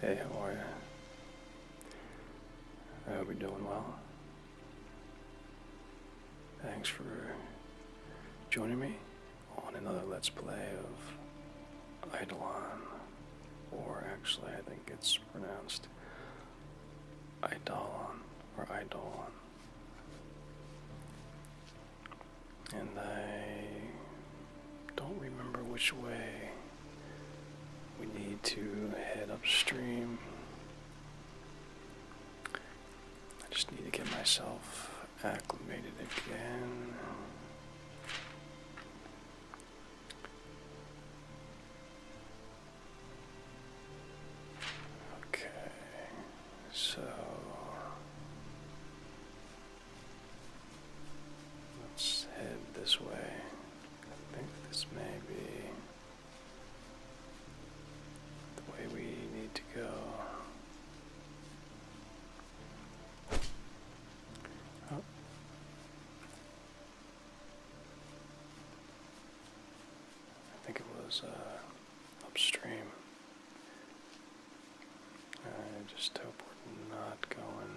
Hey, how are you? I hope you doing well. Thanks for joining me on another Let's Play of Idolon, or actually, I think it's pronounced Idolon or Idolon and I don't remember which way we need to head upstream. I just need to get myself acclimated again. Okay. So let's head this way. I think this may be the way we need to go. Oh. I think it was uh, upstream. I just hope we're not going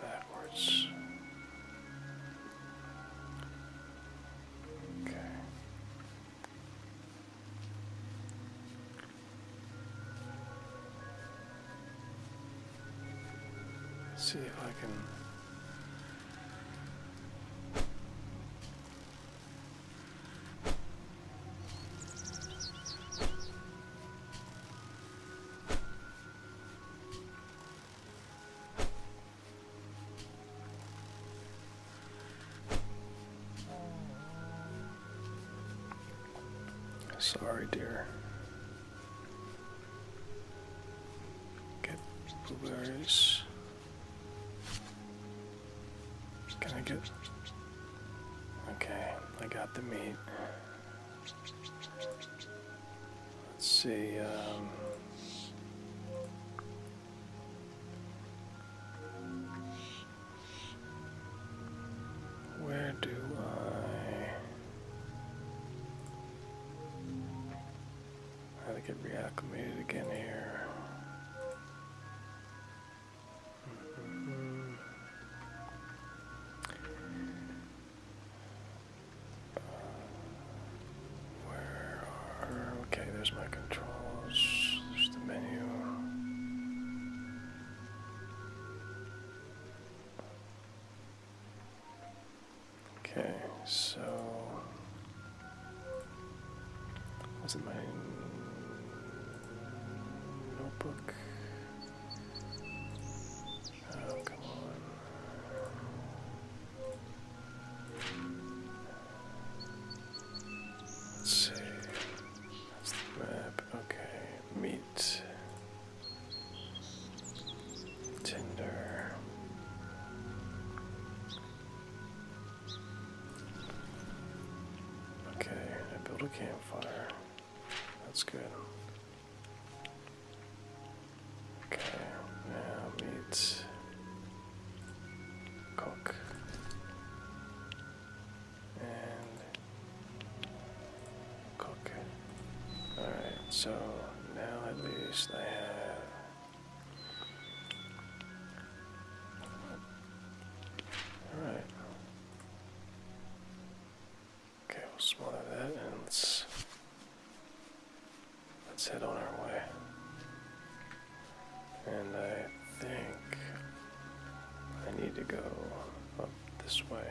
backwards. Okay. see if I can Sorry, dear. Get blueberries. Can I get. Okay, I got the meat. Let's see. Um, where do I. I gotta get reacclimated again here. Okay, there's my controls. There's the menu. Okay, so. Was it my notebook? Oh, come on. see. map. Okay. Meat. Tinder. Okay, I built a campfire. That's good. Okay, now meat. Cook. And cook. Alright, so now at least I have Alright. Okay, we'll smother that and let's let's head on our way. And I think I need to go up this way.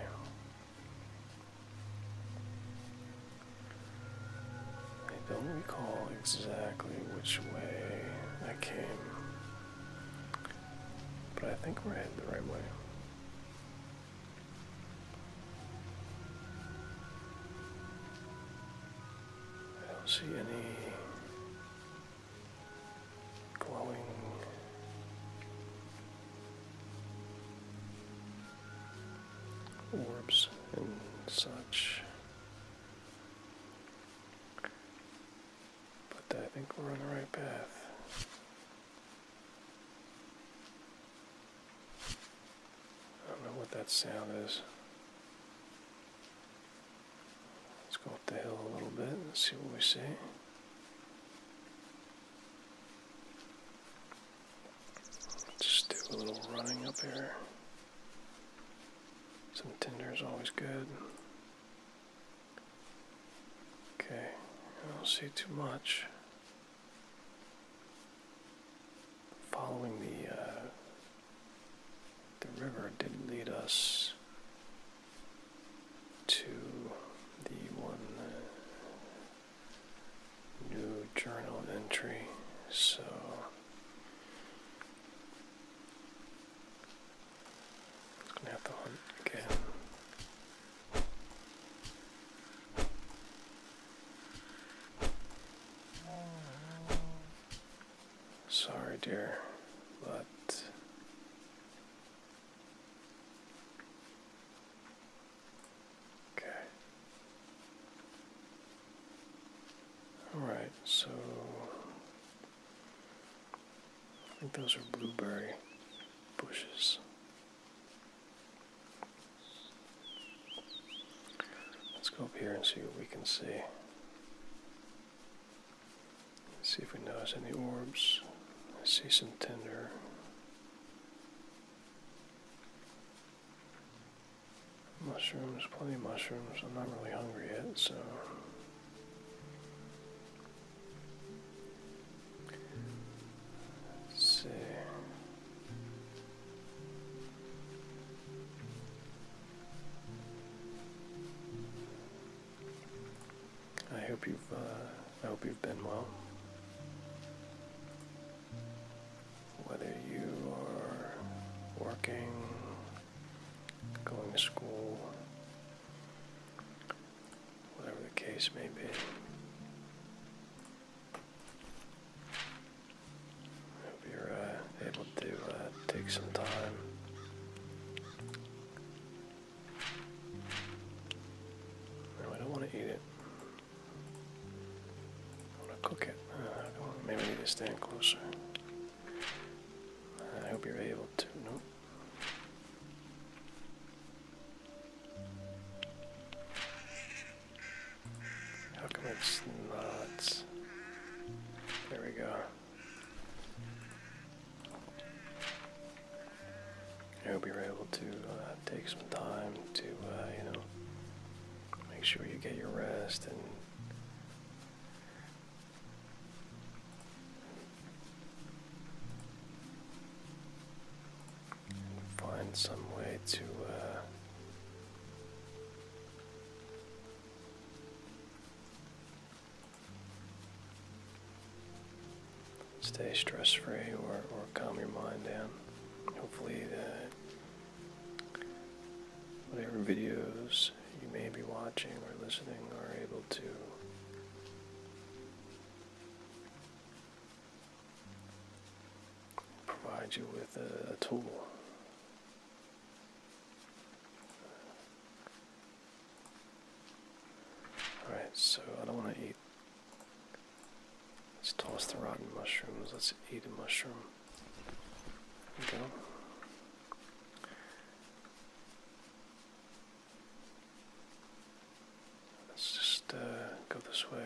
I don't recall exactly which way I came. But I think we're headed the right way. I don't see any glowing orbs and such. But I think we're on the right path. I don't know what that sound is. Let's go up the hill a little bit and see what we see. Just do a little running up here. Some tinder is always good. Okay, I don't see too much. Following the uh, the river did lead us to the one uh, new journal entry, so Gonna have to hunt again. Sorry, dear, but okay. All right, so I think those are blueberry bushes. Let's go up here and see what we can see. see if we notice any orbs. I see some tinder. Mushrooms, plenty of mushrooms. I'm not really hungry yet, so see. I hope you've uh, I hope you've been well. Whether you are working, going to school, Whatever the case may be. I hope you're uh, able to uh, take some time. No, I don't want to eat it. I want to cook it. Uh, maybe I need to stand closer. I hope you're able to. Nope. How come it's not? There we go. I hope you're able to uh, take some time to, uh, you know, make sure you get your rest and Find some way to uh, stay stress free or, or calm your mind down. Hopefully, that whatever videos you may be watching or listening are able to provide you with a, tool. Alright, so I don't want to eat. Let's toss the rotten mushrooms. Let's eat a mushroom. go. Let's just uh, go this way.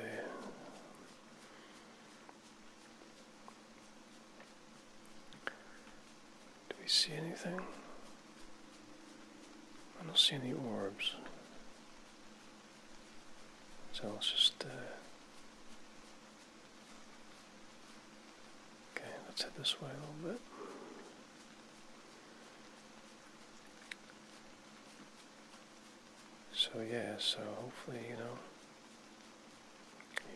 Do we see anything? I don't see any orbs. So let's just. Uh, okay, let's head this way a little bit. So yeah, so hopefully, you know,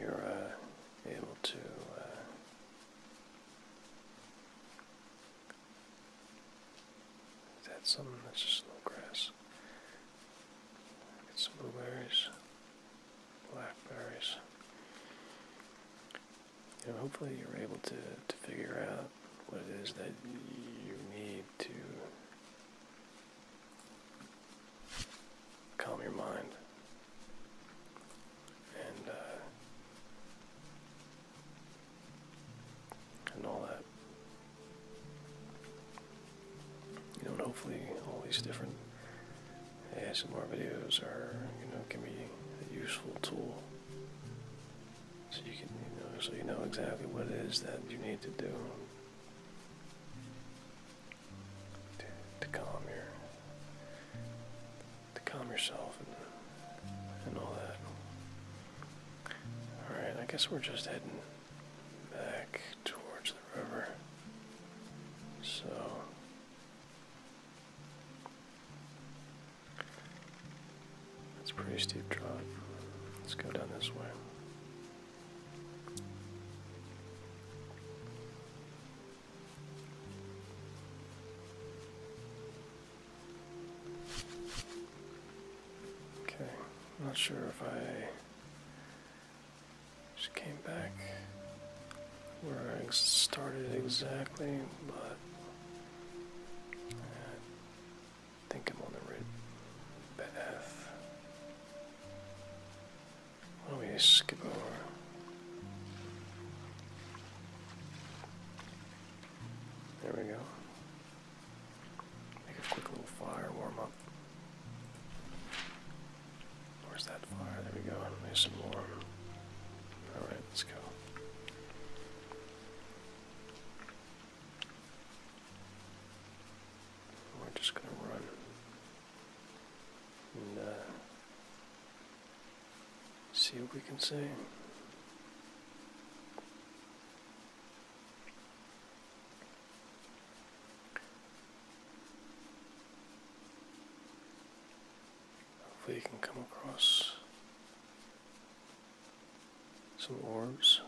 you're uh, able to uh, something that's just a little grass. Get some blueberries, blackberries you know, hopefully you're able to, to figure out what it is that you need to calm your mind and uh, and all that. You know, and hopefully all these different yeah, some more videos are, you know, can be a useful tool. So you can, you know, so you know exactly what it is that you need to do to, calm your, to calm yourself and all that. All right, I guess we're just heading back towards the river. So it's pretty steep drop. Let's go down this way. Okay, not sure if I just came back where I started exactly, but uh, I think I'm on the right path. Why do skip over? There we go. Make a quick little fire, warm up. Where's that fire? There we go. Make some more. Alright, let's go. We're oh, just going to run and uh, see what we can see. Hopefully you can come across some orbs,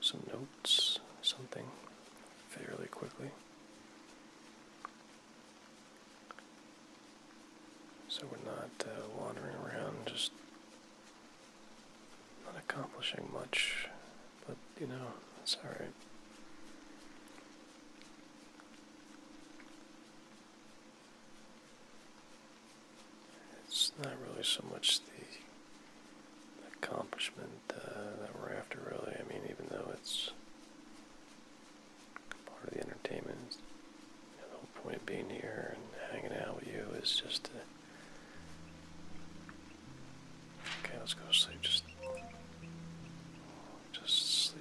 some notes, something fairly quickly. So we're not uh, wandering around just not accomplishing much, but you know, it's alright. It's not really so much the accomplishment uh, that we're after, really. I mean, even though it's part of the entertainment, the whole point of being here and hanging out with you is just to. Okay, let's go to sleep. Just just sleep.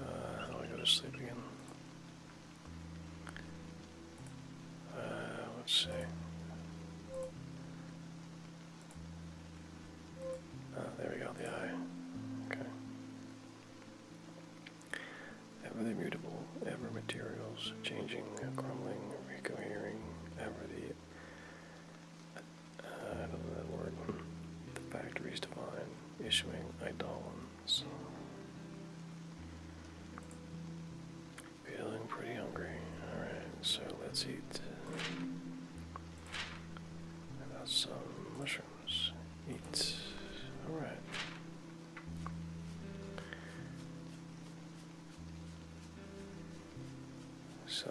Uh, how do I go to sleep again? Uh, let's see. Uh, there we go, the eye. Okay. Ever mutable, ever materials, changing, crumbling, recohering, ever the I don't know that word. The factories divine, issuing idolins. Feeling pretty hungry. Alright, so let's eat. got some mushrooms. Eat. Alright. So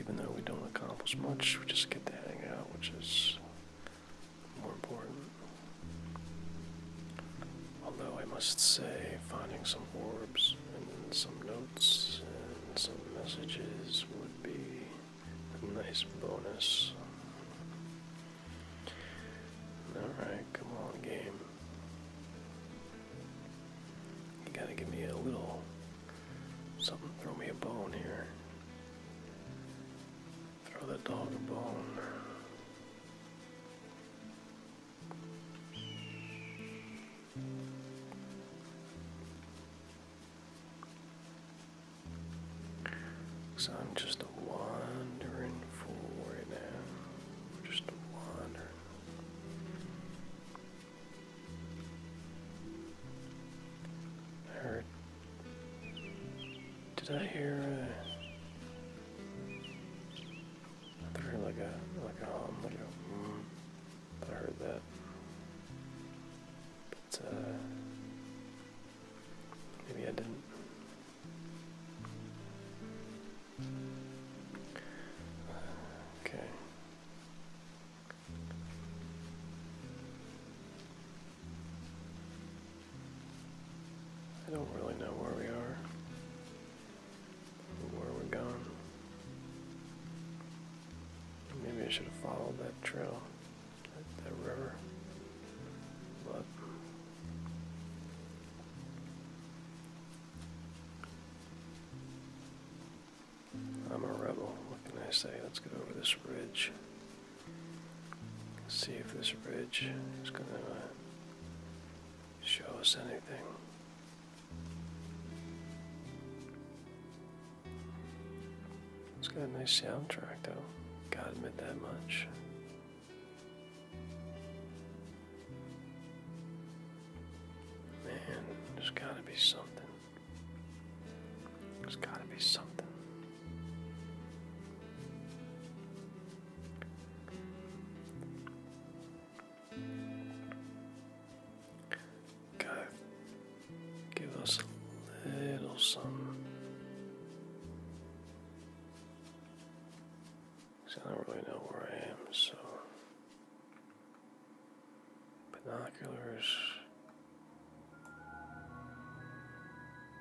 even though we don't accomplish much, we just get to hang out, which is more important. Although I must say, finding some orbs and some notes and some messages would be a nice bonus. Alright, come on, game. You gotta give me a little something, throw me a bone here. Throw that dog a bone. So I'm just a wandering fool now. Just a wandering I heard. Did I hear? I heard like a like a hum, like a. Mm, I heard that. But uh, maybe I didn't. Okay. I don't really know where we are where we're going. Maybe I should have followed that trail, that, that river. But I'm a rebel. What can I say? Let's go over this ridge. see if this ridge is going to uh, show us anything. It's got a nice soundtrack, though. Gotta admit that much. Man, there's gotta be something. There's gotta be something. God, give us a little something. Because I don't really know where I am, so. Binoculars.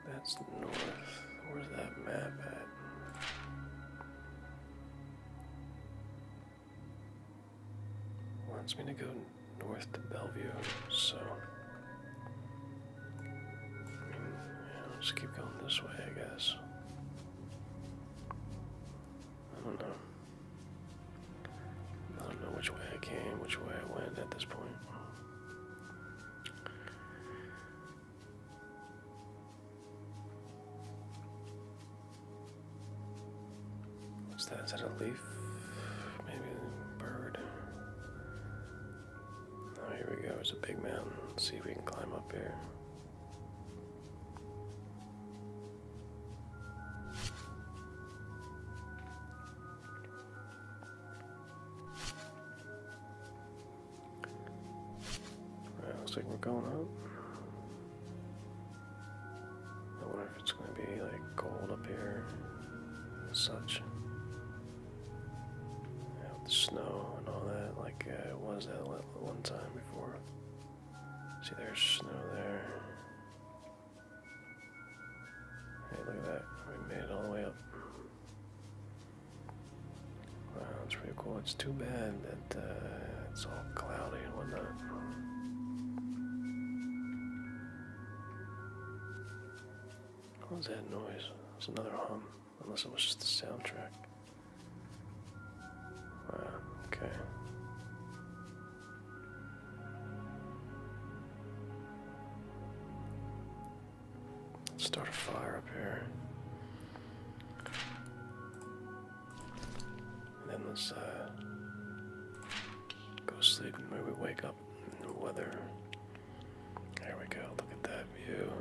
That's north. Where's that map at? Wants me to go north to Bellevue, so. Hmm, let's keep going this way, I guess. I don't know. I don't know which way I came, which way I went at this point. What's that? Is that a leaf? Maybe a bird. Oh, here we go. It's a big mountain. see if we can climb up here. Right, looks like we're going up. I wonder if it's going to be like cold up here and such. Yeah, with the snow and all that, like it uh, was that one time before. See, there's snow there. Hey, look at that. We made it all the way up. Wow, that's pretty cool. It's too bad that uh, it's all cloudy and whatnot. What was that noise? It's another hum. Unless it was just the soundtrack. Wow, okay. Start a fire up here. And then let's uh, go sleep and maybe wake up in the weather. There we go, look at that view.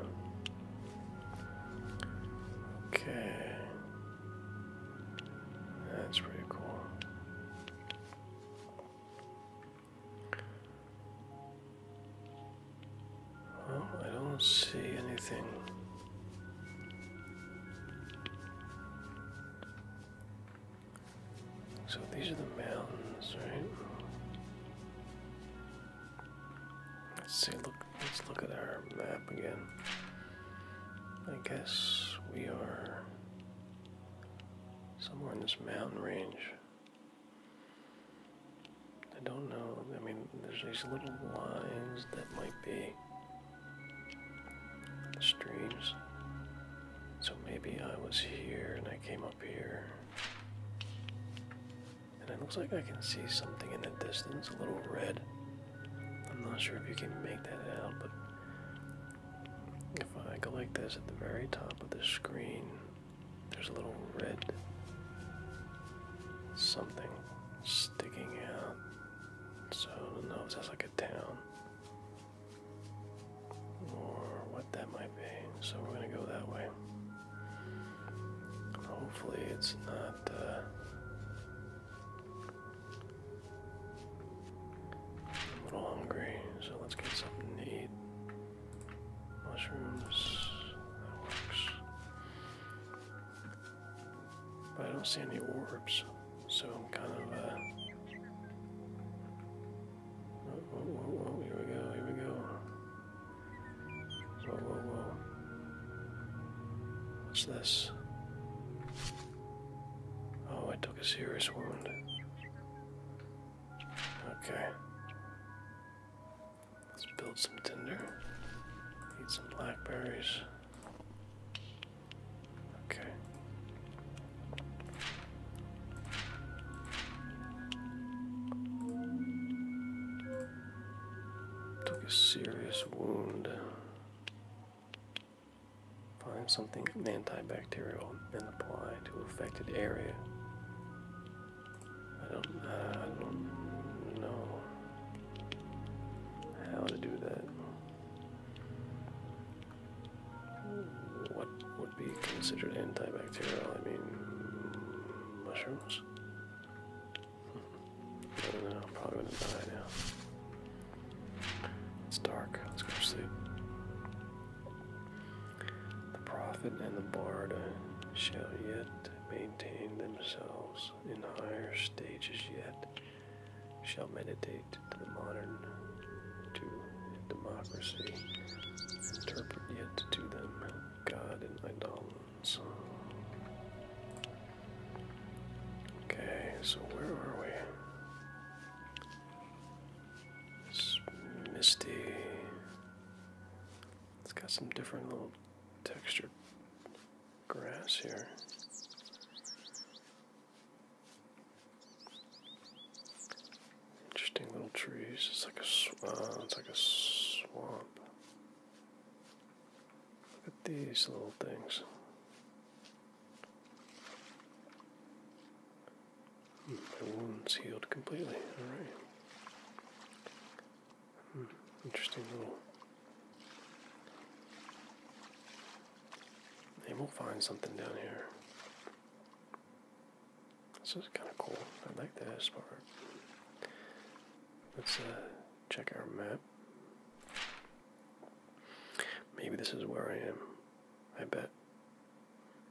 Okay. That's pretty cool. Well, I don't see anything. So these are the mountains, right? Let's see, look Let's look at our map again. I guess we are somewhere in this mountain range. I don't know. I mean, there's these little lines that might be streams. So maybe I was here and I came up here. And it looks like I can see something in the distance, a little red. I'm not sure if you can make that out, but if I go like this at the very top of the screen, there's a little red something sticking out. So I don't know if that's like a town or what that might be. So we're gonna go that way. Hopefully it's not uh, I'm a little hungry, so let's get something to eat. Mushrooms, that works. But I don't see any orbs, so I'm kind of, whoa, uh, oh, whoa, oh, oh, whoa, here we go, here we go. Whoa, whoa, whoa. What's this? Oh, I took a serious wound. Okay. Let's build some tinder. Eat some blackberries. Okay. Took a serious wound. Find something antibacterial and apply to affected area. Uh, I don't, know how to do that. What would be considered antibacterial? I mean, mushrooms? I don't know, I'm probably gonna die now. It's dark, let's go to sleep. The prophet and the bard shall yet maintain themselves in higher stages yet, shall meditate to the modern to democracy, interpret yet to them God and idolatry. So, Okay, so where are we? misty. It's got some different little textured grass here. Interesting little trees. It's like a sw uh, it's like a swamp. Look at these little things. Mm, my wound's healed completely. Alright. Hmm, interesting little. And we'll find something down here. This is kind of cool. I like this part. Let's uh, check our map. Maybe this is where I am. I bet.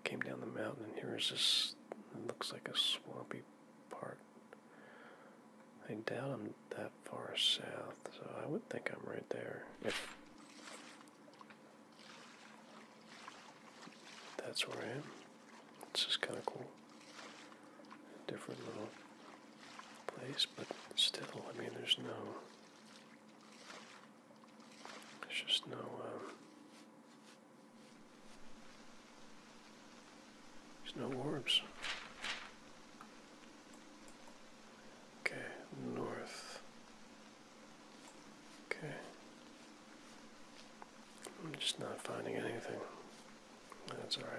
Came down the mountain, and here is this. looks like a swampy part. I doubt I'm that far south, so I would think I'm right there. that's where I am. It's just kind of cool different little place, but still, I mean, there's no. There's just no. Um, there's no orbs. Okay, north. Okay. I'm just not finding anything. That's alright.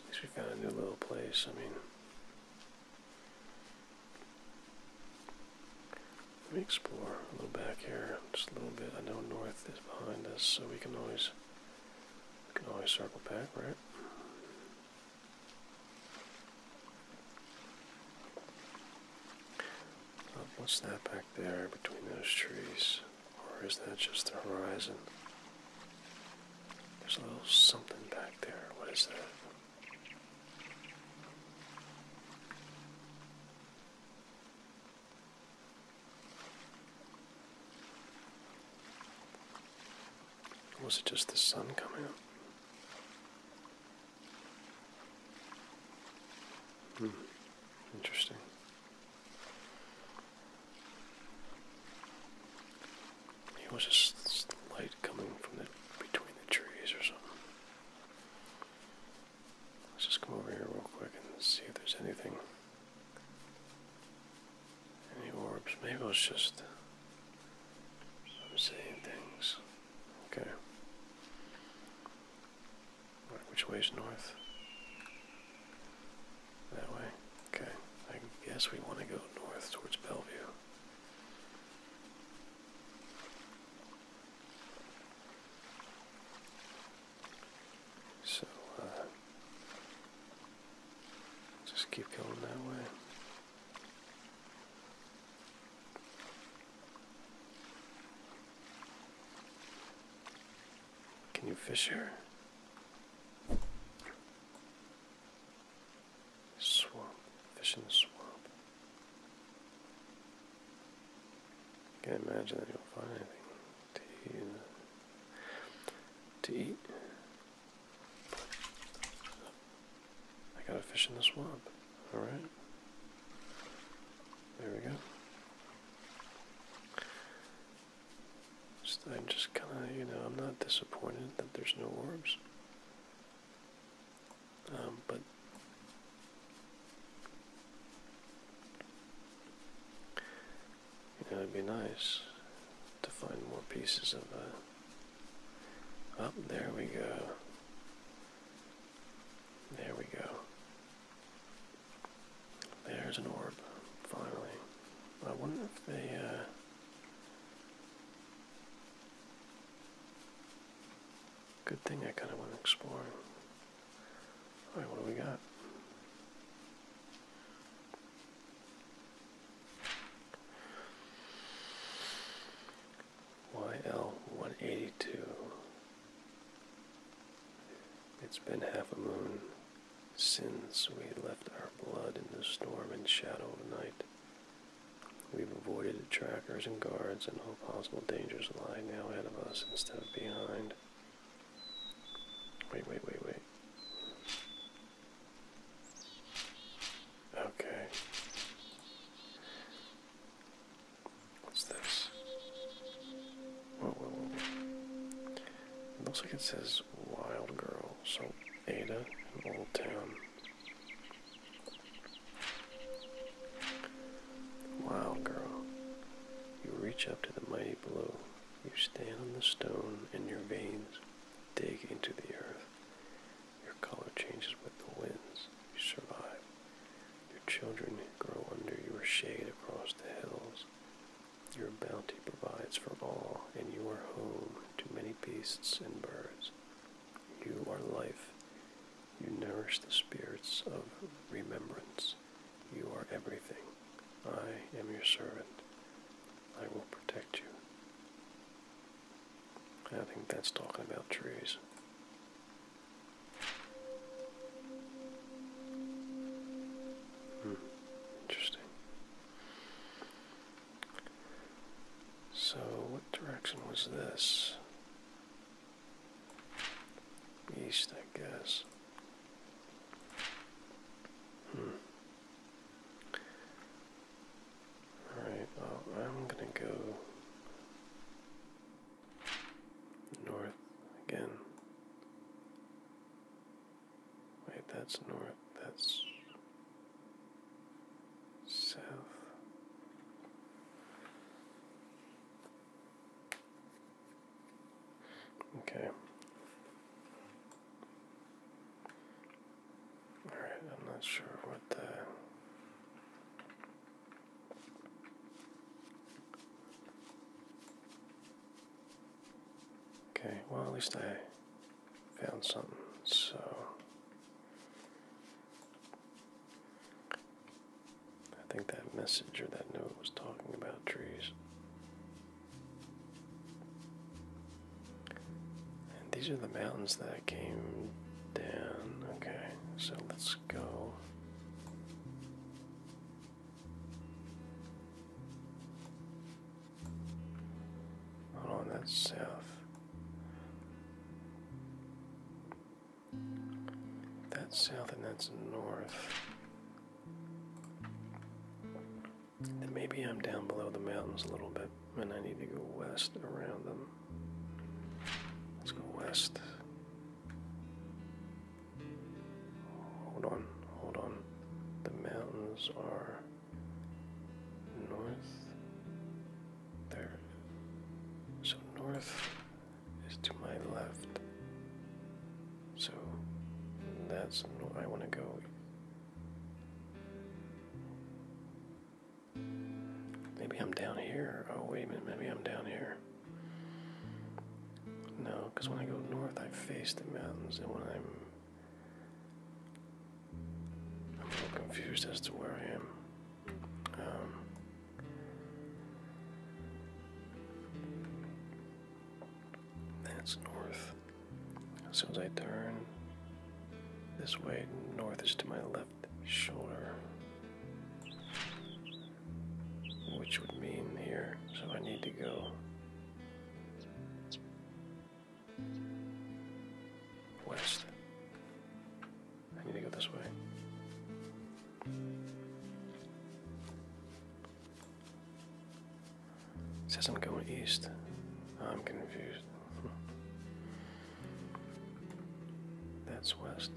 At least we found a new little place. I mean, let me explore a little back here, just a little bit. I know north is behind us, so we can always we can always circle back, right? Uh, what's that back there between those trees? Or is that just the horizon? There's a little something back there. What is that? Was it just the sun coming up? Hmm, interesting. It was just light coming from the between the trees or something. Let's just come over here real quick and see if there's anything. Any orbs. Maybe it was just I'm saying things. Okay. which way is north? That way? Okay. I guess we want to go north towards Bellevue. So, uh, just keep going that way. Can you fish here? Swamp, fish in the swamp. I can't imagine that you'll find anything To eat. I got a fish in the swamp. Alright. There we go. I'm just kind of, you know, I'm not disappointed that there's no orbs. Um, but you know, it'd be nice to find more pieces of. Uh, oh, there we go. There we go. There's an orb, finally. I wonder if they, uh, Good thing I kind of went exploring. Alright, what do we got? YL182. It's been half a moon. Since we left our blood in the storm and shadow of night, we've avoided trackers and guards, and all possible dangers lie now ahead of us instead of behind. Wait, wait, wait, wait. Okay. What's this? Whoa, whoa, whoa. It looks like it says wild girl. So Ada in Old Town. Wild girl, you reach up to the mighty blue. You stand on the stone and your veins dig into the earth. Your color changes with the winds. You survive. Your children grow under your shade across the hills. Your bounty provides for all, and you are home to many beasts and birds. You are life. You nourish the spirits of remembrance. You are everything. I am your servant. I will protect you. I think that's talking about trees. Hmm. Interesting. So, what direction was this? East, I guess. Hmm. Alright, well, I'm gonna go north again. Wait, that's north, that's south. Okay. Alright, I'm not sure what the. Okay, well, at least I found something. So I think that message or that note was talking about trees. And these are the mountains that came down. Okay, so let's go. Hold on, that's south. That's south and that's north. Then maybe I'm down below the mountains a little bit and I need to go west around them. Let's go west. Hold on, hold on. The mountains are north there. So north is to my left. So that's where I want to go. Maybe I'm down here. Oh, wait a minute. Maybe I'm down here. No, because when I go north, I face the mountains, and when I'm I'm so confused as to where I am. Um, that's north. As soon as I turn this way, north is to my left shoulder, which would mean here. So I need to go West. I need to go this way. It says I'm going east. I'm confused. That's west.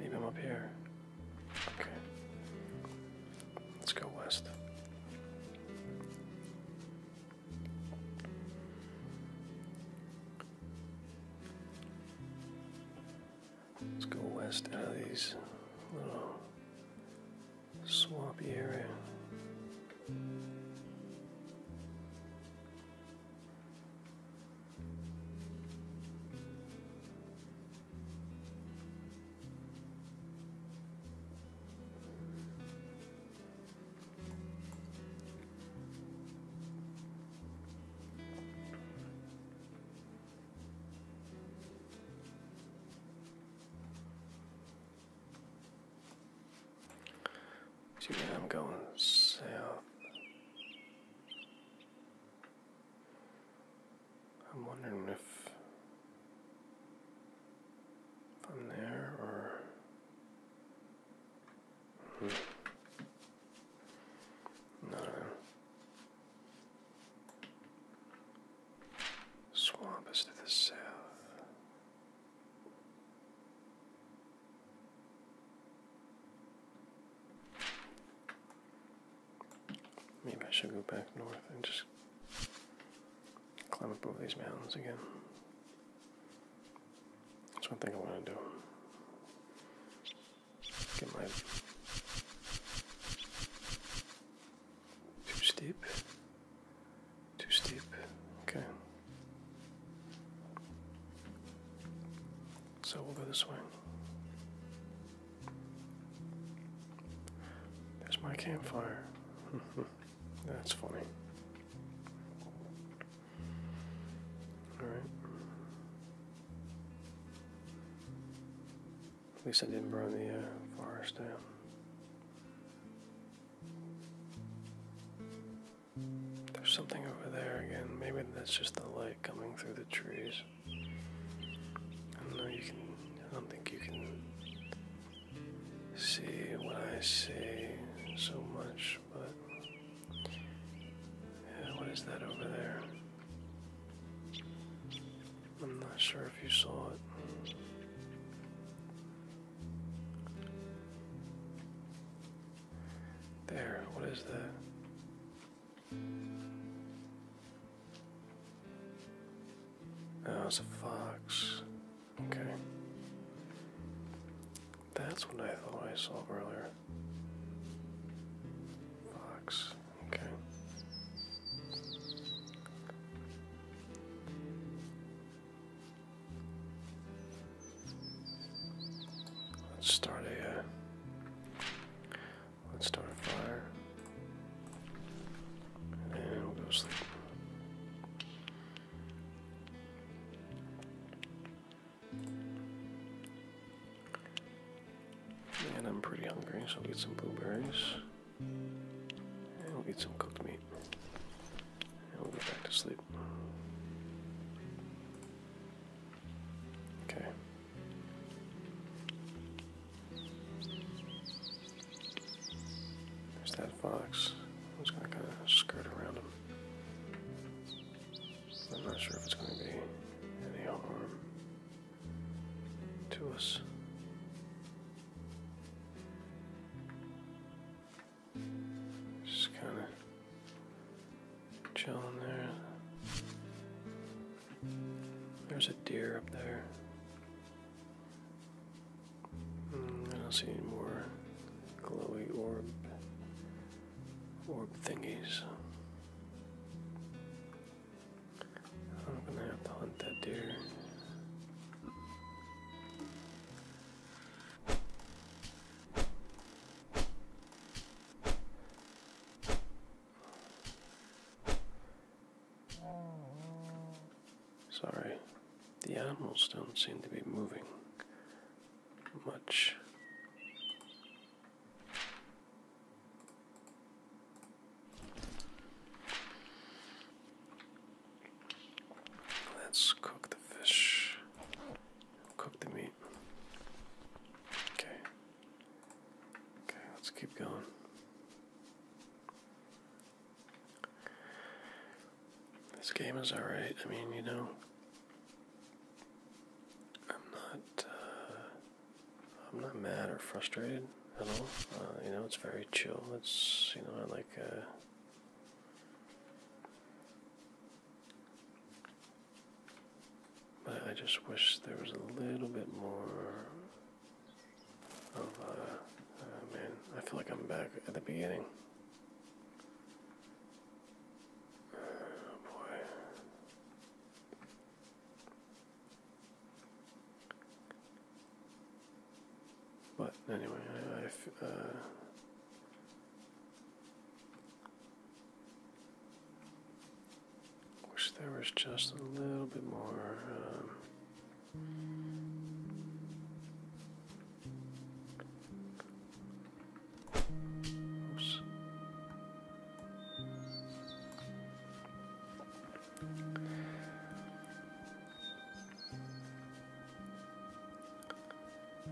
Maybe I'm up here. Okay. Let's go west. Let's go west out of these swampy area. So yeah, I'm going south. I'm wondering if, I'm there or. Hmm. No. Swamp is to the south. Maybe I should go back north and just climb up over these mountains again. That's one thing I want to do. too steep. Too steep. Okay. So we'll go this way. There's my campfire. That's funny. Alright. At least I didn't burn the uh, forest down. There's something over there again. Maybe that's just the light coming through the trees. I know, you can I don't think you can see what I see so much, but yeah, what is that over there? I'm not sure if you saw it. There, what is that? Oh, that was a fox. Okay. That's what I thought I saw earlier. Fox. Okay. Let's start a. Uh, let's start a fire. And we'll go sleep. And I'm pretty hungry, so I'll eat some blueberries. And we'll eat some cooked meat. And we'll go back to sleep. Okay. There's that fox. I'm just gonna kind of skirt around him. I'm not sure if it's gonna be any harm to us. Just kind of chilling there. There's a deer up there. Hmm, I don't see any more glowy orb orb thingies. I'm gonna have to hunt that deer. Sorry, the animals don't seem to be moving much. Let's cook the fish, cook the meat. Okay. Okay, let's keep going. This game is alright. I mean, you know, I'm not, uh, I'm not mad or frustrated at all. Uh, you know, it's very chill. It's, you know, I like, uh, but I just wish there was a little bit more Oh, uh, oh man, I feel like I'm back at the beginning. Oh boy. But anyway, I, uh, wish there was just a little bit more. Um,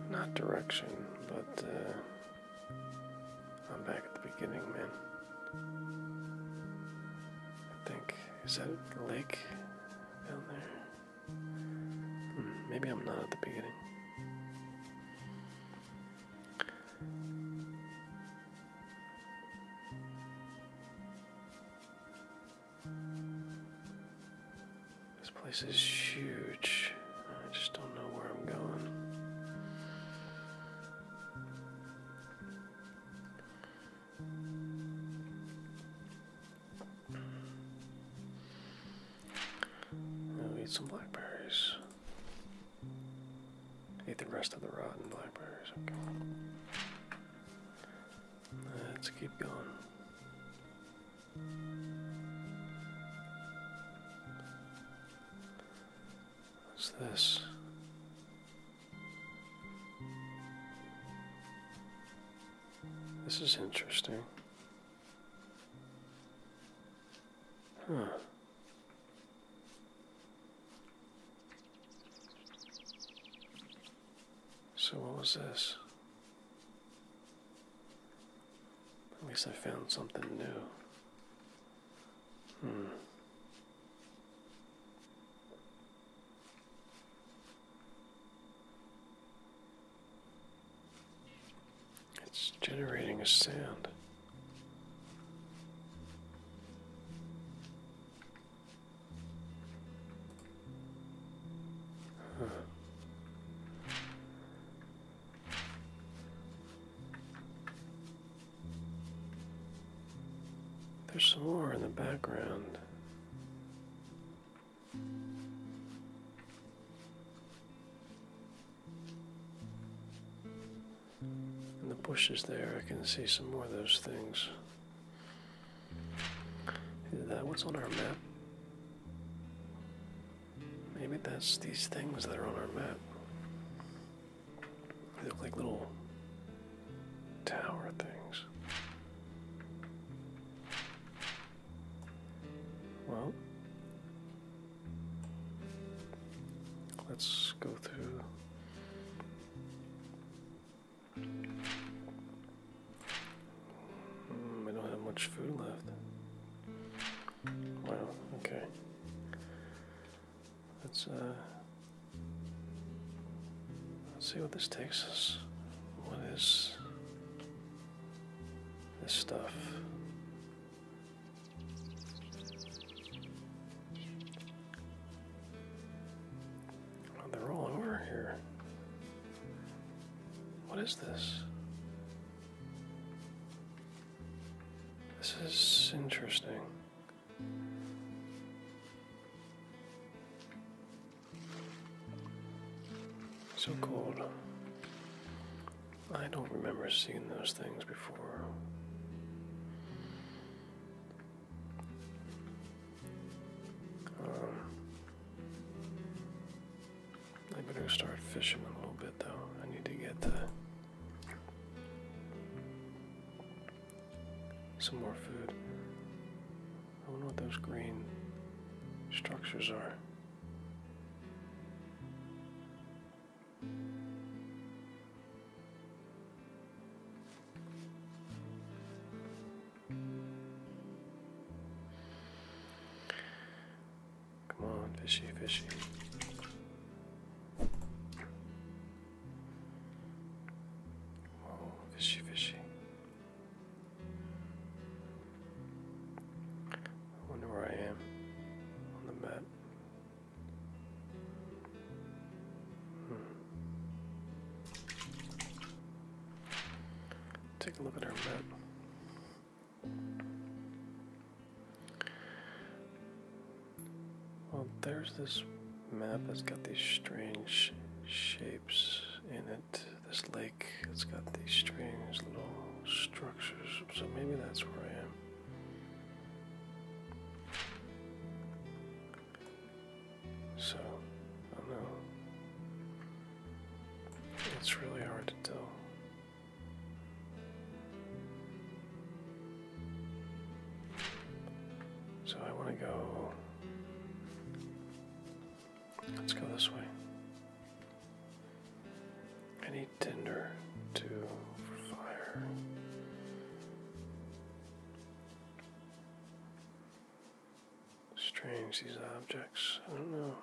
not direction, but uh, I'm back at the beginning, man. I think is that a lake down there? Hmm, maybe I'm not at the beginning. This place is huge. I just don't know where I'm going eat some blackberries. Eat the rest of the rotten blackberries. Okay. Let's keep going. What's this? This is interesting. Huh. So what was this? At least I found something new. Hmm. It's generating a sound. There's some more in the background. In the bushes there, I can see some more of those things. That, what's on our map? Maybe that's these things that are on our map. They look like little tower things. Well, let's go through. Mm, I don't have much food left. Well, okay. Let's uh Let's see what this takes us. What is this stuff? Oh, they're all over here. What is this? This is interesting. So cold. I don't remember seeing those things before. Um, I better start fishing a little bit though. I need to get some more food. I wonder what those green structures are. Come on, fishy, fishy. Whoa, fishy, fishy. I wonder where I am on the map. Hmm. Take a look at our map. Well, there's this map that's got these strange shapes in it. This lake, it's got these strange little structures, so maybe that's where I am. So, I don't know. It's really hard to tell. So I want to go Let's go this way. Any tinder to fire. Strange these objects. I don't know.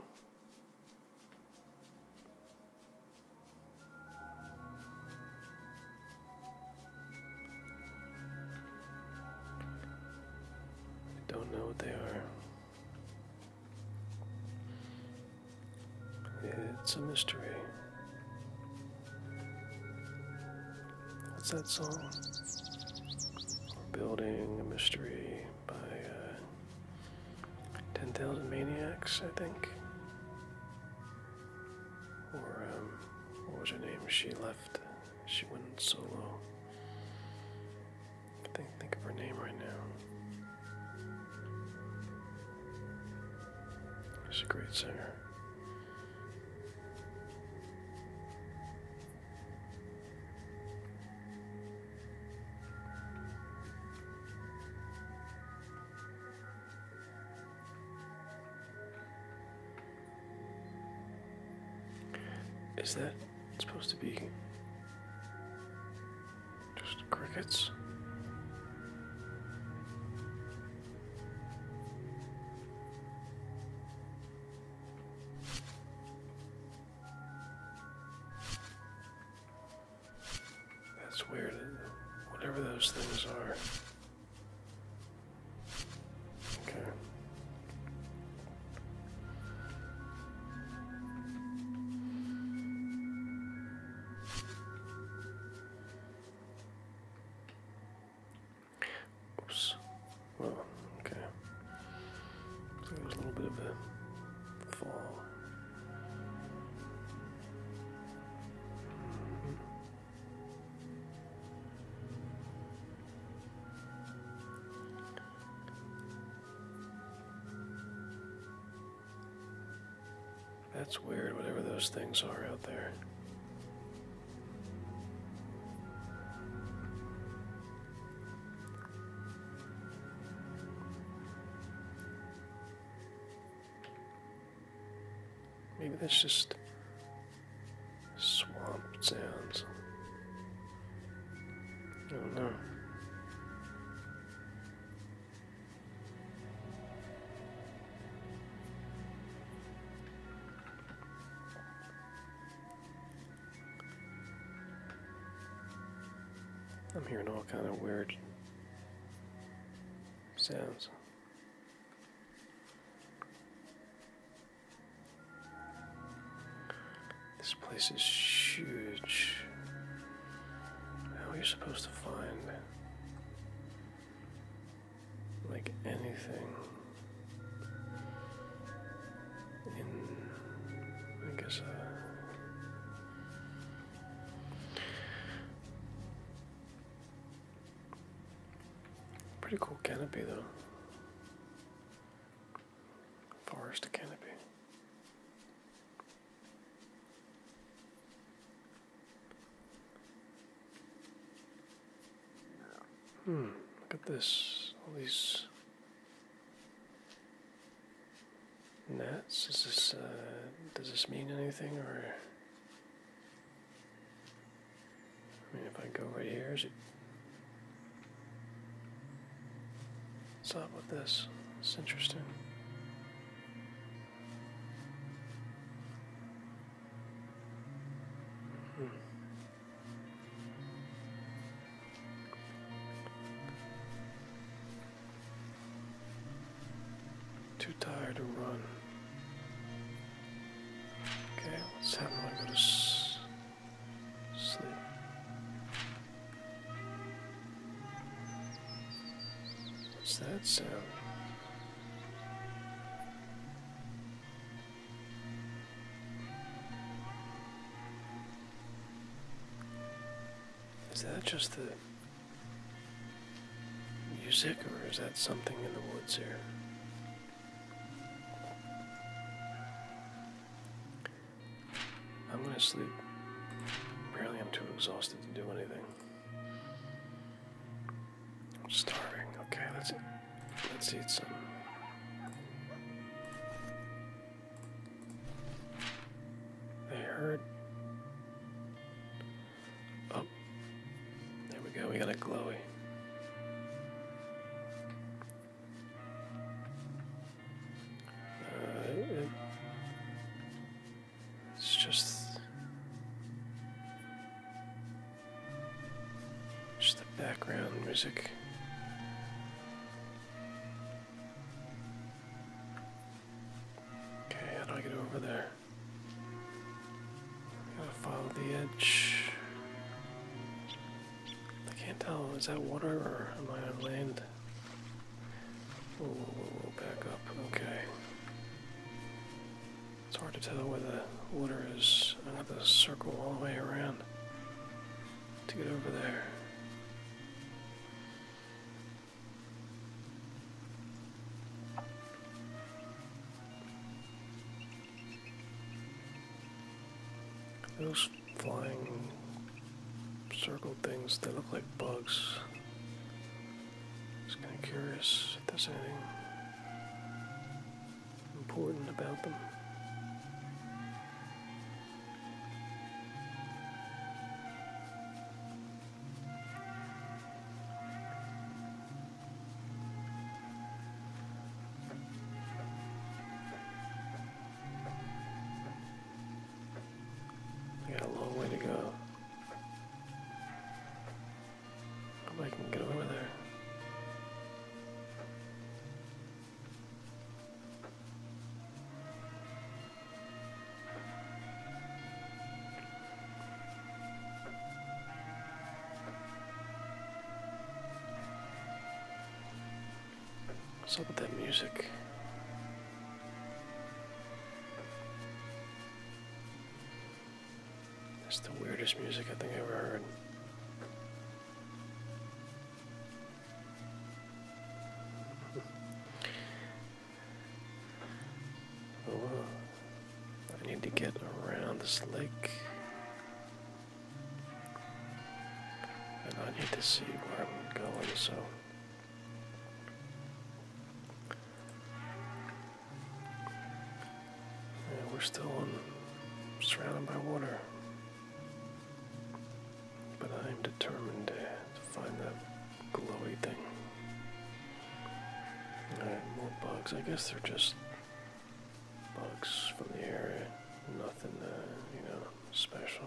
I don't know what they are. It's a mystery. What's that song? building a mystery by uh, Ten Thousand Maniacs, I think. Or um, what was her name? She left. She went solo. I think think of her name right now. She's a great singer. Is that supposed to be just crickets? That's weird. Whatever those things are, Okay. Oops. Well, okay. So there's a little bit of a fall. Mm-hmm. That's weird, whatever those things are out there. Maybe that's just Swamp sounds. I don't know. I'm hearing all kind of weird sounds. This place is huge. How are you supposed to find like anything in I guess uh pretty cool canopy though. Forest canopy. Hmm, look at this. All these nets. Is this, uh, does this mean anything or I mean, if I go right here, is it? What's up with this? It's interesting. Mm-hmm. Too tired to run. Okay, let's have a look at this. Sleep. What's that sound? Is that just the music, or is that something in the woods here? I'm gonna sleep. Apparently, I'm too exhausted to do anything. I'm starving. Okay, let's eat. let's eat some. They heard. Oh, there we go. We got a glowy. Uh, it's just, just the background music. Okay, how do I get over there? Gotta follow the edge. I can't tell. Is that water or am I on land? Oh, whoa, whoa, whoa, back up. Okay. It's hard to tell where the water is. I have to circle all the way around to get over there. Those flying circle things, they look like bugs. Just kind of curious if there's anything important about them. I got a long way to go. Hope I can get over there. What's up with that music? That's the weirdest music I think I've ever heard. Oh, I need to get around this lake. And I need to see where I'm going, so. Yeah, we're still on, surrounded by water. But I am determined to, find that glowy thing. Alright, more bugs. I guess they're just bugs from the area. Nothing, uh, you know special.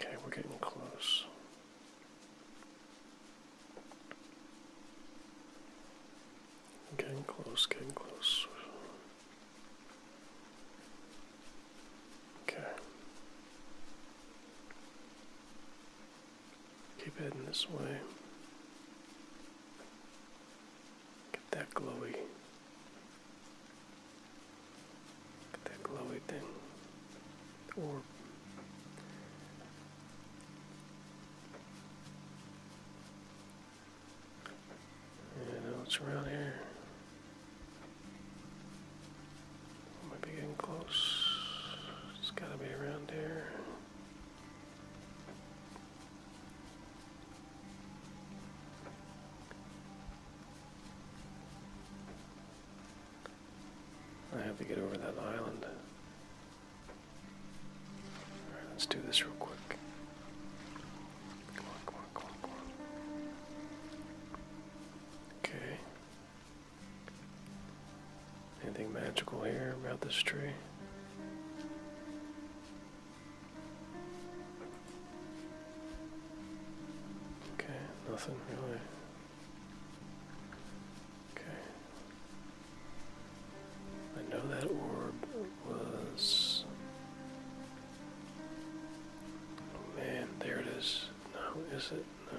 Okay, we're getting close. Getting close, getting close. Okay. Keep heading this way. Get that glowy. Get that glowy thing. Or yeah, around here. Might getting close. It's gotta be around here. I have to get over that island. Alright, let's do this real quick. Come on, come on, come on, come on. Okay. Anything magical here about this tree? Okay, nothing really. Okay. I know that orb was. Oh man, there it is. No, is it? No.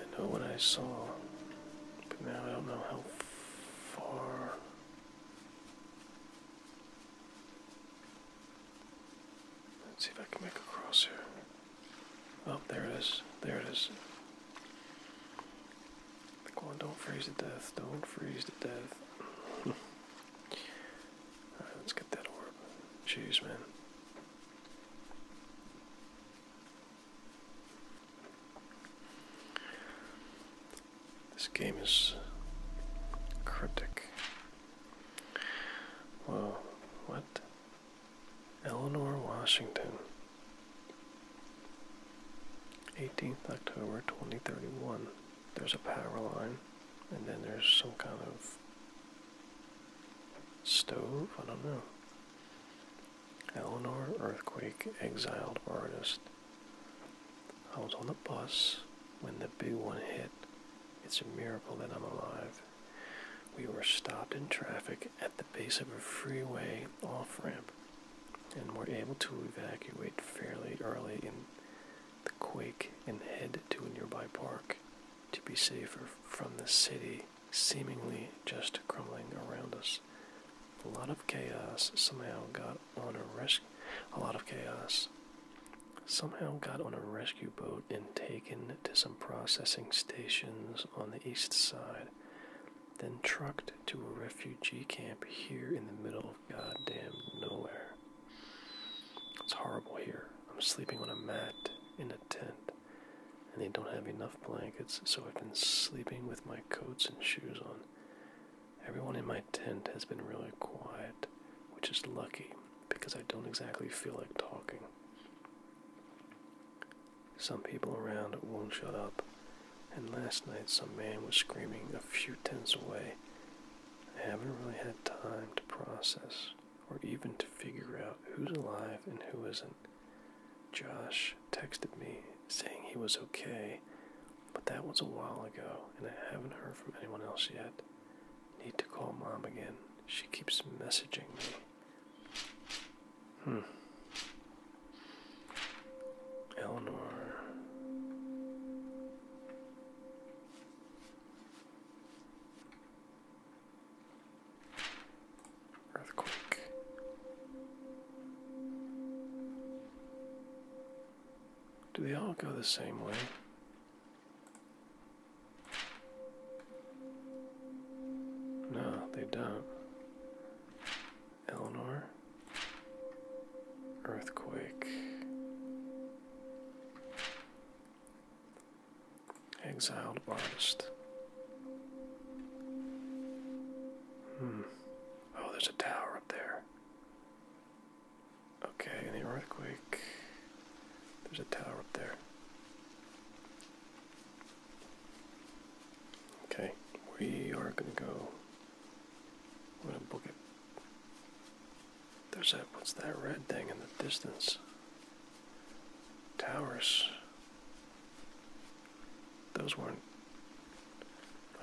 I know what I saw, but now I don't know how far. Let's see if I can make a cross here. Oh, there it is. There it is. don't freeze to death. Don't freeze to death. let's get that orb. Jeez, man. This game is cryptic. Whoa, what? Eleanor Washington. 18th October 2031. There's a power line, and then there's some kind of Stove? I don't know. Eleanor Earthquake exiled artist. I was on the bus when the big one hit. It's a miracle that I'm alive. We were stopped in traffic at the base of a freeway off ramp and were able to evacuate fairly early in the quake and head to a nearby park to be safer from the city seemingly just crumbling around us. A lot of chaos somehow got on a rescue. A lot of chaos somehow got on a rescue boat and taken to some processing stations on the east side, then trucked to a refugee camp here in the middle of goddamn nowhere. It's horrible here. I'm sleeping on a mat in a tent and they don't have enough blankets, so I've been sleeping with my coats and shoes on. Everyone in my tent has been really quiet, which is lucky because I don't exactly feel like talking. Some people around won't shut up, and last night some man was screaming a few tents away. I haven't really had time to process or even to figure out who's alive and who isn't. Josh texted me saying he was okay, but that was a while ago and I haven't heard from anyone else yet. Need to call mom again. She keeps messaging me. Hmm. Eleanor. Earthquake. Do they all go the same way? No, they don't. Eleanor. Earthquake. Exiled artist. Hmm. Oh, there's a tower up there. Okay, any earthquake? There's a tower up there. Okay, we are gonna go. We're gonna book it. There's that, what's that red thing in the distance? Towers. Those weren't.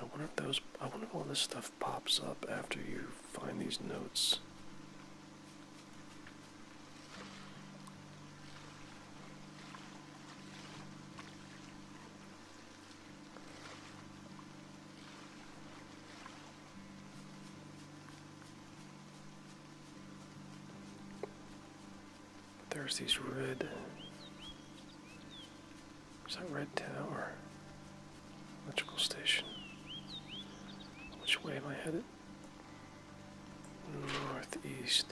I wonder if those. I wonder if all this stuff pops up after you find these notes. There's these red. Is that red tower? Electrical station. Which way am I headed? Northeast.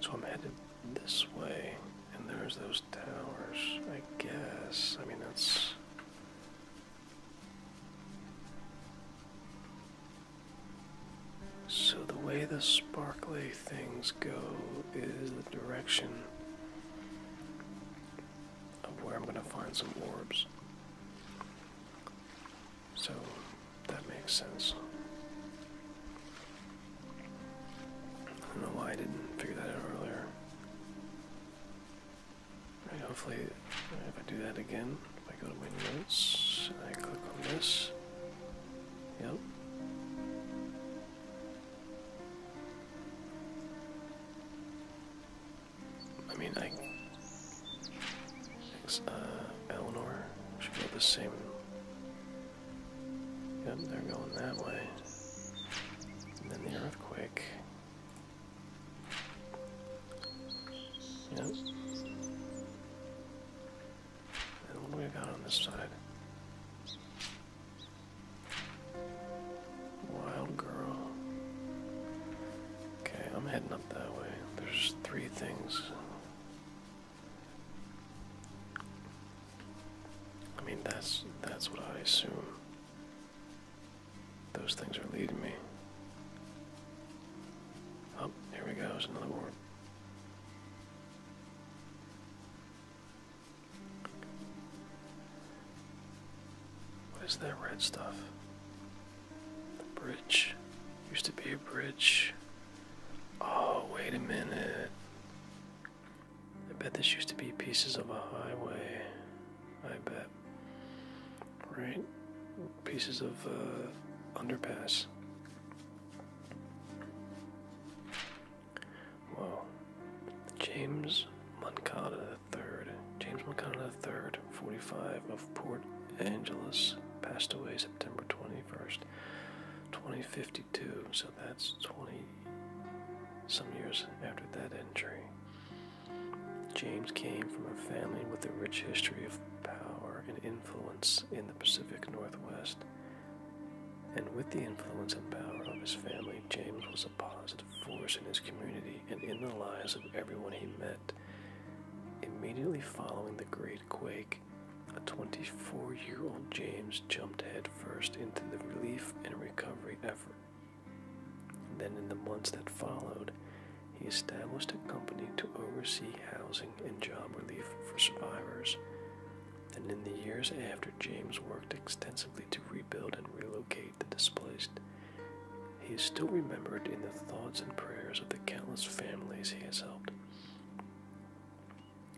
So I'm headed this way, and there's those towers, I guess. I mean, that's so, the way the sparkly things go is the direction of where I'm going to find some orbs. So, that makes sense. I don't know why I didn't figure that out earlier hopefully, if I do that again, if I go to my notes and I click on this, yep. I mean, like uh, Eleanor should go the same. Yep, they're going that way. then the earthquake. Yep. And what do we got on this side? Wild girl. Okay, I'm heading up that way. There's three things. I mean, that's that's what I assume. Those things are leading me. Oh, here we go, another ward. What is that red stuff? The bridge. Used to be a bridge. Oh, wait a minute. I bet this used to be pieces of a highway. I bet right? Pieces of uh, underpass. Wow. James Moncada III. James Moncada III, 45, of Port Angeles, passed away September 21st, 2052. So that's 20 some years after that injury. James came from a family with a rich history of power and influence in the Pacific Northwest. And with the influence and power of his family, James was a positive force in his community and in the lives of everyone he met. Immediately following the Great Quake, a 24 year old James jumped headfirst into the relief and recovery effort. Then, in the months that followed, he established a company to oversee housing and job relief for survivors, and in the years after, James worked extensively to rebuild and relocate the displaced. He is still remembered in the thoughts and prayers of the countless families he has helped.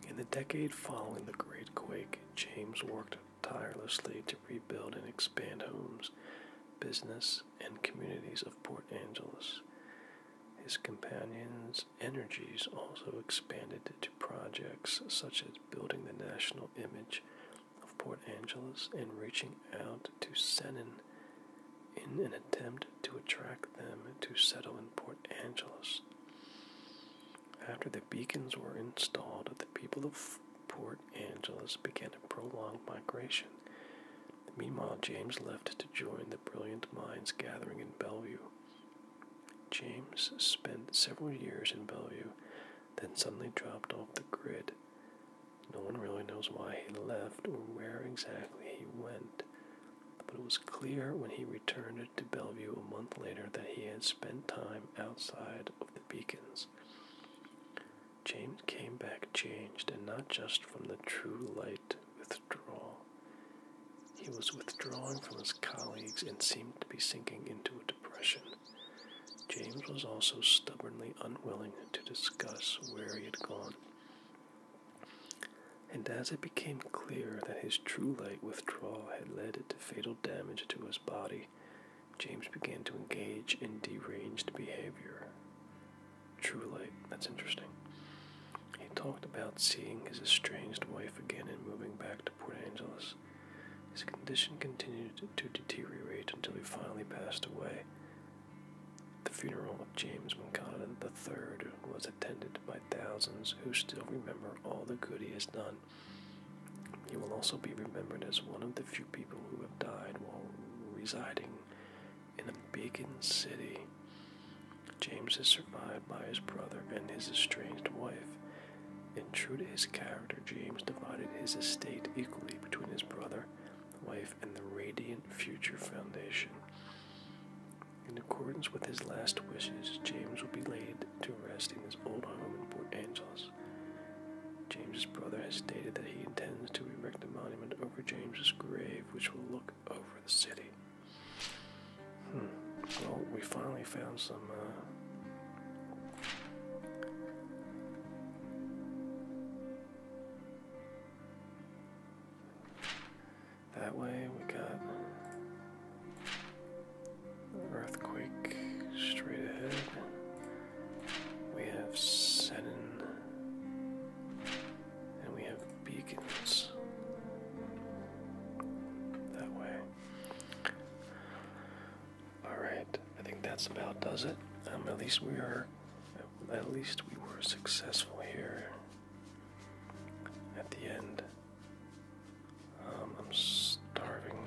In the decade following the Great Quake, James worked tirelessly to rebuild and expand homes, business, and communities of Port Angeles. His companion's energies also expanded to projects such as building the national image of Port Angeles and reaching out to Senen, in an attempt to attract them to settle in Port Angeles. After the beacons were installed, the people of Port Angeles began a prolonged migration Meanwhile, James left to join the brilliant minds gathering in Bellevue. James spent several years in Bellevue, then suddenly dropped off the grid. No one really knows why he left or where exactly he went, but it was clear when he returned to Bellevue a month later that he had spent time outside of the beacons. James came back changed, and not just from the true light withdrawal. He was withdrawing from his colleagues and seemed to be sinking into a depression. James was also stubbornly unwilling to discuss where he had gone. And as it became clear that his true light withdrawal had led to fatal damage to his body, James began to engage in deranged behavior true light. That's interesting. He talked about seeing his estranged wife again and moving back to Port Angeles. His condition continued to deteriorate until he finally passed away. The funeral of James Moncada III was attended by thousands who still remember all the good he has done. He will also be remembered as one of the few people who have died while residing in a Beacon City. James is survived by his brother and his estranged wife. And true to his character, James divided his estate equally between his brother, wife, and the Radiant Future Foundation. In accordance with his last wishes, James will be laid to rest in his old home in Port Angeles. James's brother has stated that he intends to erect a monument over James's grave, which will look over the city. Hmm. Well, we finally found some. Uh, that way we got earthquake straight ahead. We have seven and we have beacons that way. Alright, I think that's about does it. Um, at least we are, at least we were successful here at the end. Um, I'm starving,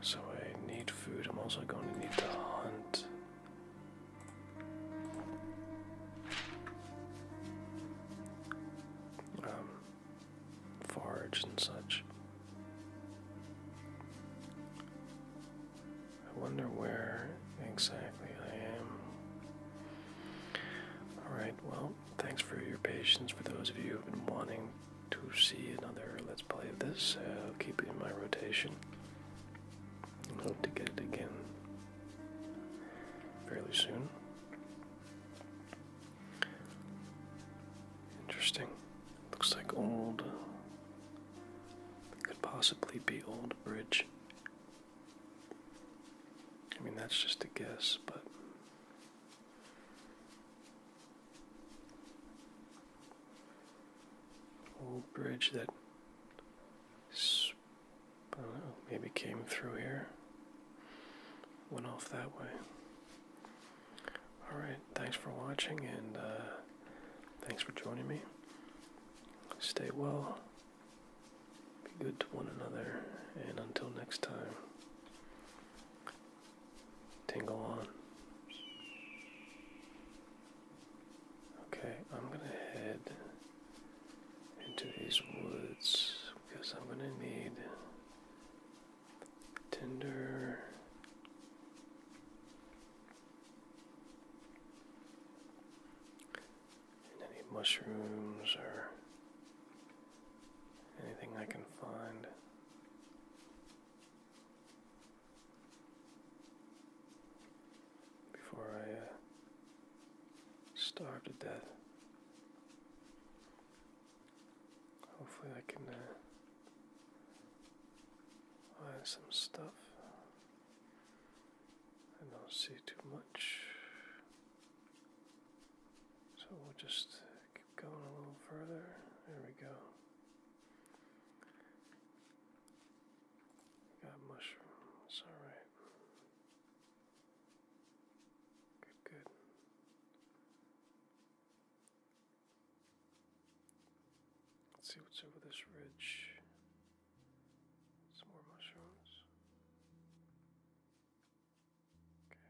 so I need food. I'm also going to need to hunt um, forage and such. I wonder where exactly I am. Alright, well, thanks for your patience. For those of you who have been wanting to see another Let's Play of this, uh, I'll keep it in my rotation. I hope to get it again fairly soon. Interesting. Looks like old. Could possibly be Old Bridge. I mean, that's just a guess, but. Old bridge that maybe came through here. Went off that way. Alright, thanks for watching and uh, thanks for joining me. Stay well, be good to one another, and until next time, tingle on. Okay, I'm gonna head into these woods because I'm gonna need tinder. And any mushrooms or anything I can find before I uh, starve to death. Hopefully, I can uh, find some stuff. I don't see too much. So we'll just keep going a little further. There we go. Got mushrooms, alright. Good, Let's see what's over this ridge. Some more mushrooms. Okay.